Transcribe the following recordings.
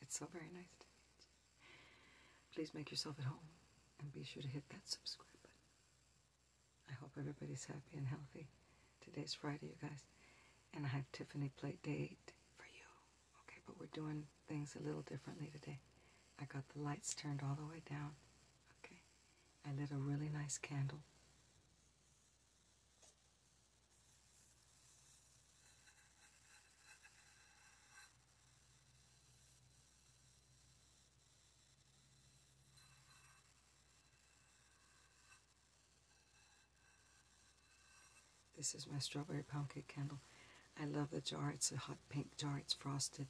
It's so very nice to meet you. Please make yourself at home and be sure to hit that subscribe button. I hope everybody's happy and healthy. Today is Friday, you guys, and I have Tiffany plate date for you. Okay, but we're doing things a little differently today. I got the lights turned all the way down. Okay, I lit a really nice candle. This is my strawberry pumpkin candle. I love the jar. It's a hot pink jar. It's frosted.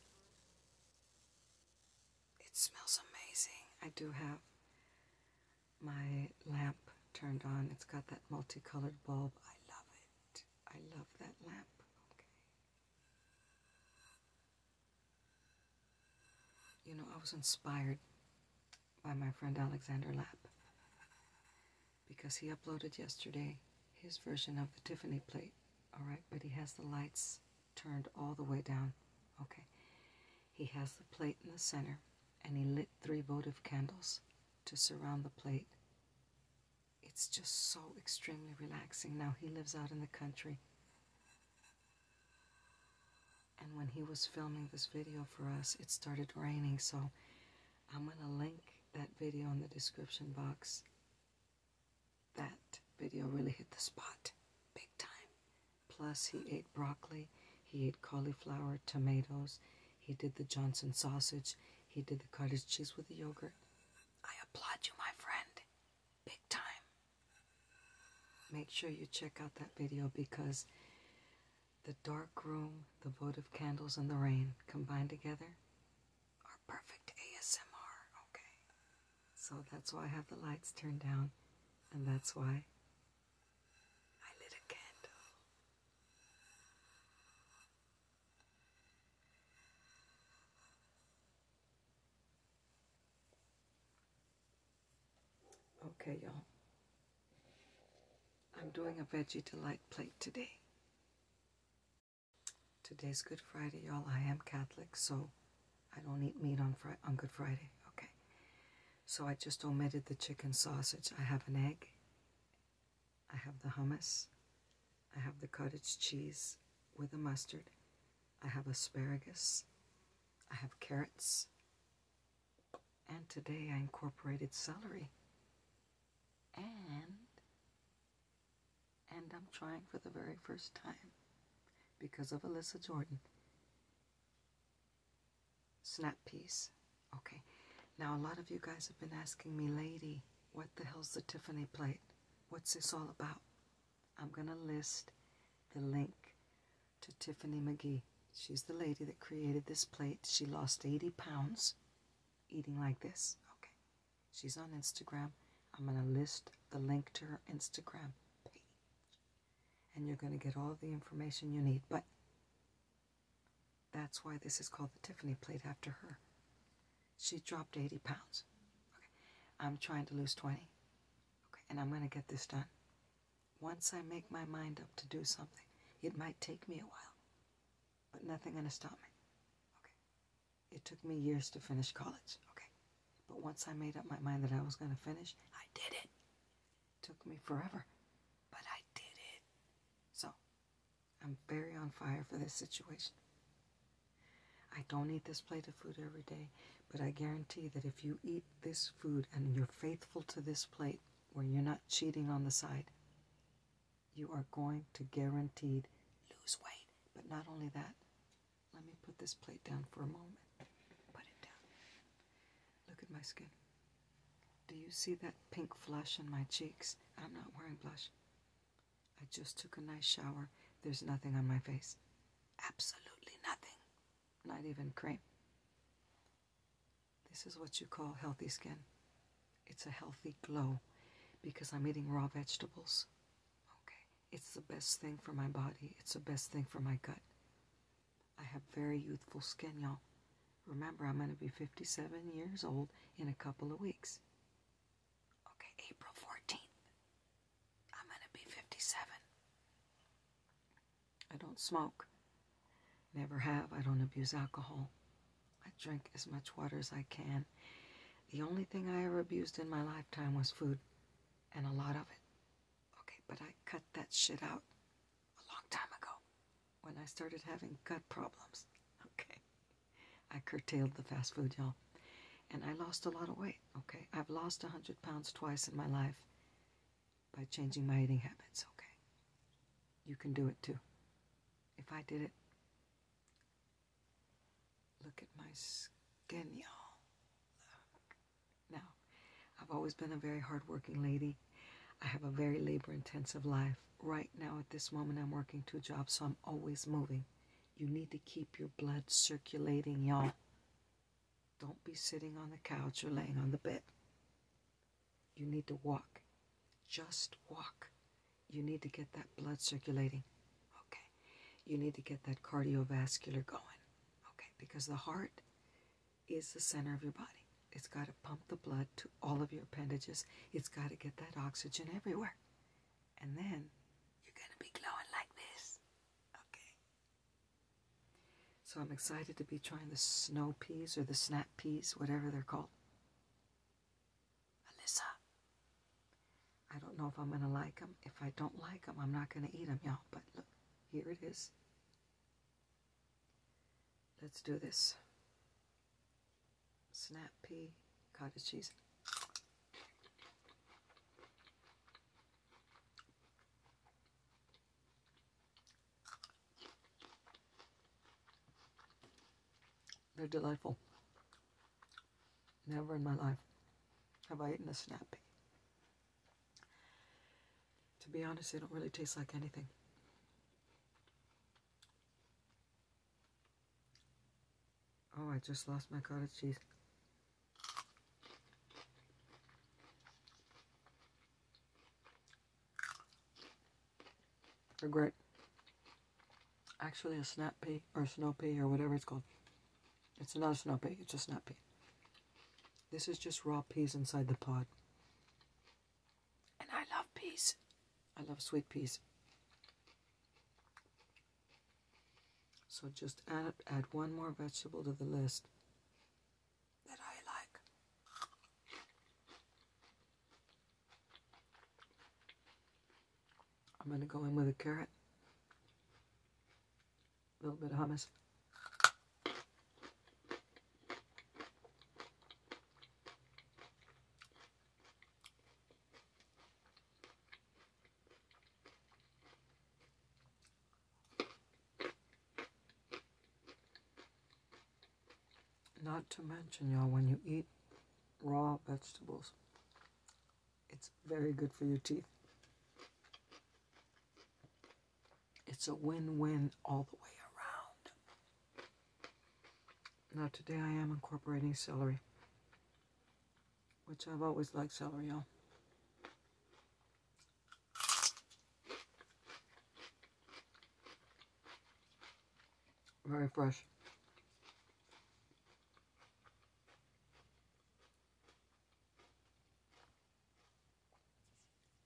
It smells amazing. I do have my lamp turned on. It's got that multicolored bulb. I love it. I love that lamp. Okay. You know, I was inspired by my friend Alexander Lapp because he uploaded yesterday his version of the Tiffany plate. All right, but he has the lights turned all the way down. Okay. He has the plate in the center and he lit three votive candles to surround the plate. It's just so extremely relaxing. Now he lives out in the country. And when he was filming this video for us, it started raining. So I'm going to link that video in the description box. That video really hit the spot big time. Plus, he ate broccoli he ate cauliflower, tomatoes. He did the Johnson sausage. He did the cottage cheese with the yogurt. I applaud you, my friend. Big time. Make sure you check out that video because the dark room, the votive candles, and the rain combined together are perfect ASMR, okay? So that's why I have the lights turned down, and that's why I lit a candle. Okay, y'all. I'm doing a veggie delight plate today. Today's Good Friday, y'all. I am Catholic, so I don't eat meat on Friday, on Good Friday. Okay. So I just omitted the chicken sausage. I have an egg I have the hummus. I have the cottage cheese with the mustard. I have asparagus. I have carrots. And today I incorporated celery. And and I'm trying for the very first time because of Alyssa Jordan Snap piece. Okay. Now, a lot of you guys have been asking me, lady, what the hell's the Tiffany plate? What's this all about? I'm going to list the link to Tiffany McGee. She's the lady that created this plate. She lost 80 pounds eating like this. Okay. She's on Instagram. I'm going to list the link to her Instagram page. And you're going to get all the information you need. But that's why this is called the Tiffany plate after her. She dropped 80 pounds. I'm trying to lose 20. Okay, and I'm going to get this done. Once I make my mind up to do something, it might take me a while, but nothing's going to stop me. Okay. It took me years to finish college. Okay. But once I made up my mind that I was going to finish, I did it. Took me forever, but I did it. So, I'm very on fire for this situation. I don't eat this plate of food every day, but I guarantee that if you eat this food and you're faithful to this plate, where you're not cheating on the side, you are going to guaranteed lose weight. But not only that, let me put this plate down for a moment. Put it down. Look at my skin. Do you see that pink flush in my cheeks? I'm not wearing blush. I just took a nice shower. There's nothing on my face. Absolutely nothing. Not even cream. This is what you call healthy skin. It's a healthy glow because I'm eating raw vegetables. Okay. It's the best thing for my body. It's the best thing for my gut. I have very youthful skin, y'all. Remember, I'm going to be 57 years old in a couple of weeks. Okay, April 14th. I'm going to be 57. I don't smoke. Never have. I don't abuse alcohol. I drink as much water as I can. The only thing I ever abused in my lifetime was food, and a lot of it. Okay, but I cut that shit out a long time ago when I started having gut problems. Okay. I curtailed the fast food, y'all. And I lost a lot of weight, okay? I've lost 100 pounds twice in my life by changing my eating habits, okay? You can do it too. If I did it, look at my skin, y'all. Now, I've always been a very hardworking lady I have a very labor intensive life. Right now, at this moment, I'm working two jobs, so I'm always moving. You need to keep your blood circulating, y'all. Don't be sitting on the couch or laying on the bed. You need to walk. Just walk. You need to get that blood circulating. Okay. You need to get that cardiovascular going. Okay. Because the heart is the center of your body. It's got to pump the blood to all of your appendages. It's got to get that oxygen everywhere. And then you're going to be glowing like this. Okay. So I'm excited to be trying the snow peas or the snap peas, whatever they're called. Alyssa, I don't know if I'm going to like them. If I don't like them, I'm not going to eat them, y'all. But look, here it is. Let's do this. Snappy cottage cheese. They're delightful. Never in my life have I eaten a snappy. To be honest, they don't really taste like anything. Oh, I just lost my cottage cheese. Regret. Actually, a snap pea or a snow pea or whatever it's called. It's not a snow pea, it's a snap pea. This is just raw peas inside the pod. And I love peas. I love sweet peas. So just add, add one more vegetable to the list that I like. I'm going to go in with a carrot, a little bit of hummus, not to mention, y'all, when you eat raw vegetables, it's very good for your teeth. It's a win win all the way around. Now today I am incorporating celery, which I've always liked celery, all Very fresh.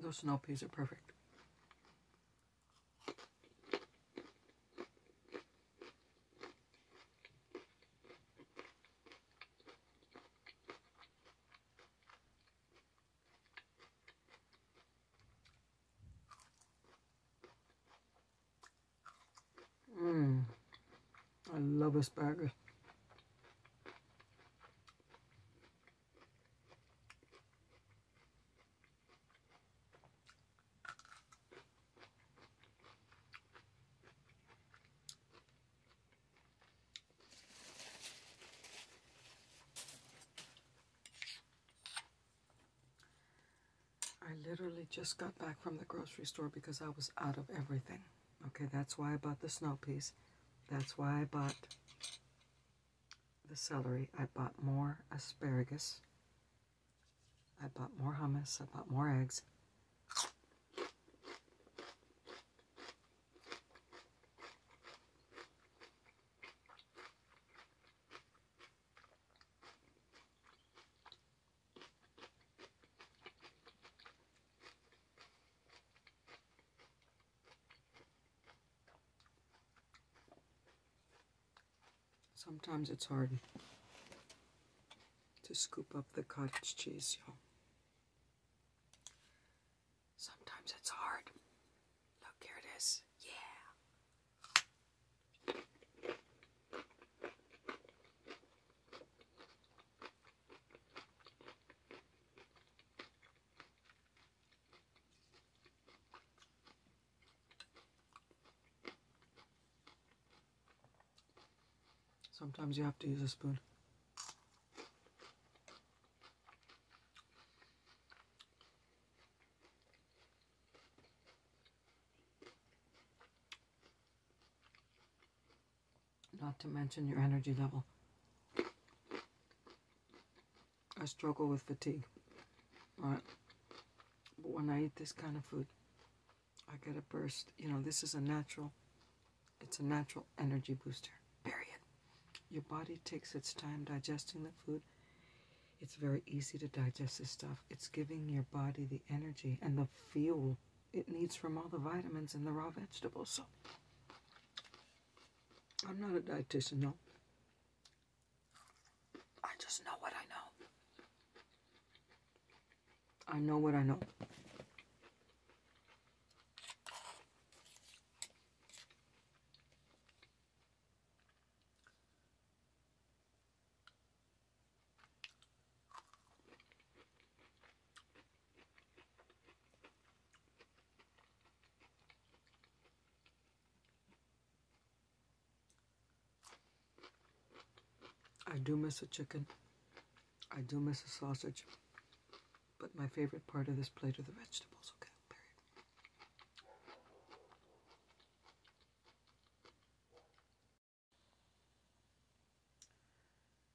Those snow peas are perfect. Mmm. I love asparagus. I literally just got back from the grocery store because I was out of everything. Okay, that's why I bought the snow peas. That's why I bought the celery. I bought more asparagus. I bought more hummus. I bought more eggs. Sometimes it's hard to scoop up the cottage cheese, y'all. Sometimes it's hard. Look, here it is. Yeah. Sometimes you have to use a spoon. Not to mention your energy level. I struggle with fatigue. But when I eat this kind of food, I get a burst. You know, this is a natural, it's a natural energy booster, period. Your body takes its time digesting the food. It's very easy to digest this stuff. It's giving your body the energy and the fuel it needs from all the vitamins and the raw vegetables. So I'm not a dietitian, no. I just know what I know. I know what I know. I do miss a chicken. I do miss a sausage. But my favorite part of this plate are the vegetables, okay?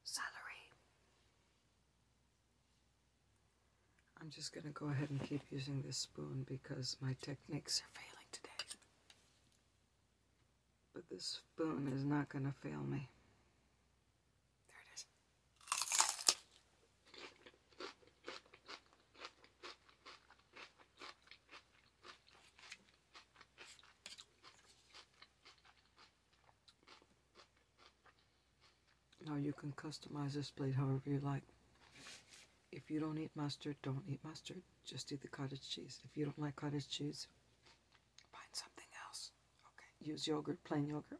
Salary. I'm just going to go ahead and keep using this spoon because my techniques are failing today. But this spoon is not going to fail me. There it is. Now you can customize this plate however you like. If you don't eat mustard, don't eat mustard. Just eat the cottage cheese. If you don't like cottage cheese, find something else. Okay, use yogurt, plain yogurt.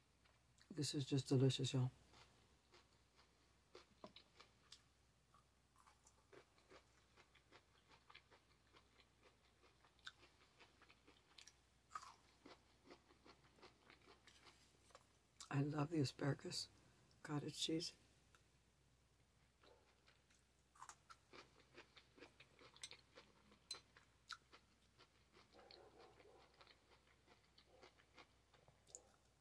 This is just delicious, y'all. I love the asparagus, cottage cheese.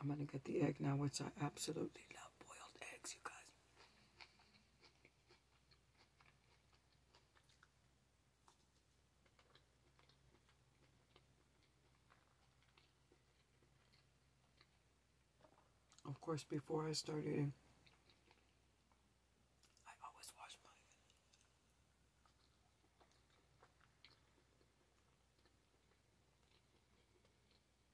I'm gonna get the egg now, which I absolutely love boiled eggs, you guys. Of course, before I start eating, I always wash my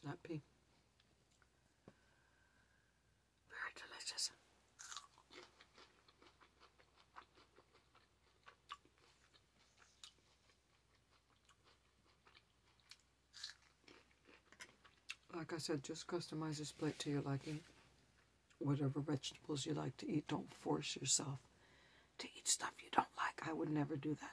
Snappy, very delicious? Like I said, just customize this plate to your liking. Whatever vegetables you like to eat, don't force yourself to eat stuff you don't like. I would never do that.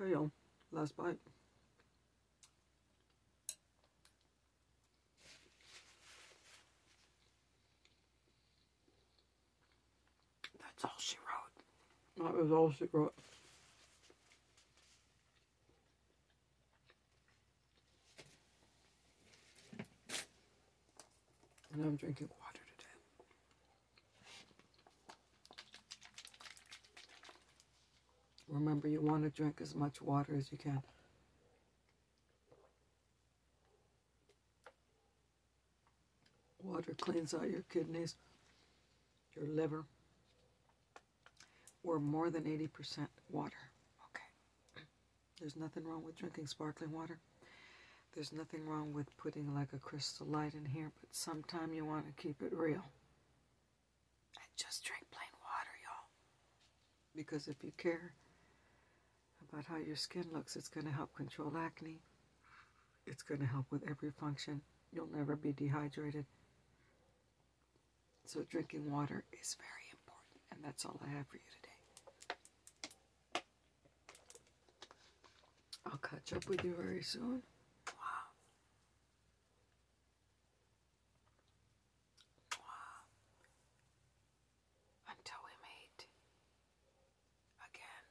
Okay, y'all. last bite. That's all she wrote. That was all she wrote. And I'm drinking water today. Remember, you want to drink as much water as you can. Water cleans out your kidneys, your liver. We're more than 80% water. Okay. There's nothing wrong with drinking sparkling water. There's nothing wrong with putting like a crystal light in here, but sometime you want to keep it real. And just drink plain water, y'all. Because if you care about how your skin looks, it's going to help control acne. It's going to help with every function. You'll never be dehydrated. So, drinking water is very important, and that's all I have for you today. I'll catch up with you very soon. Until we meet again.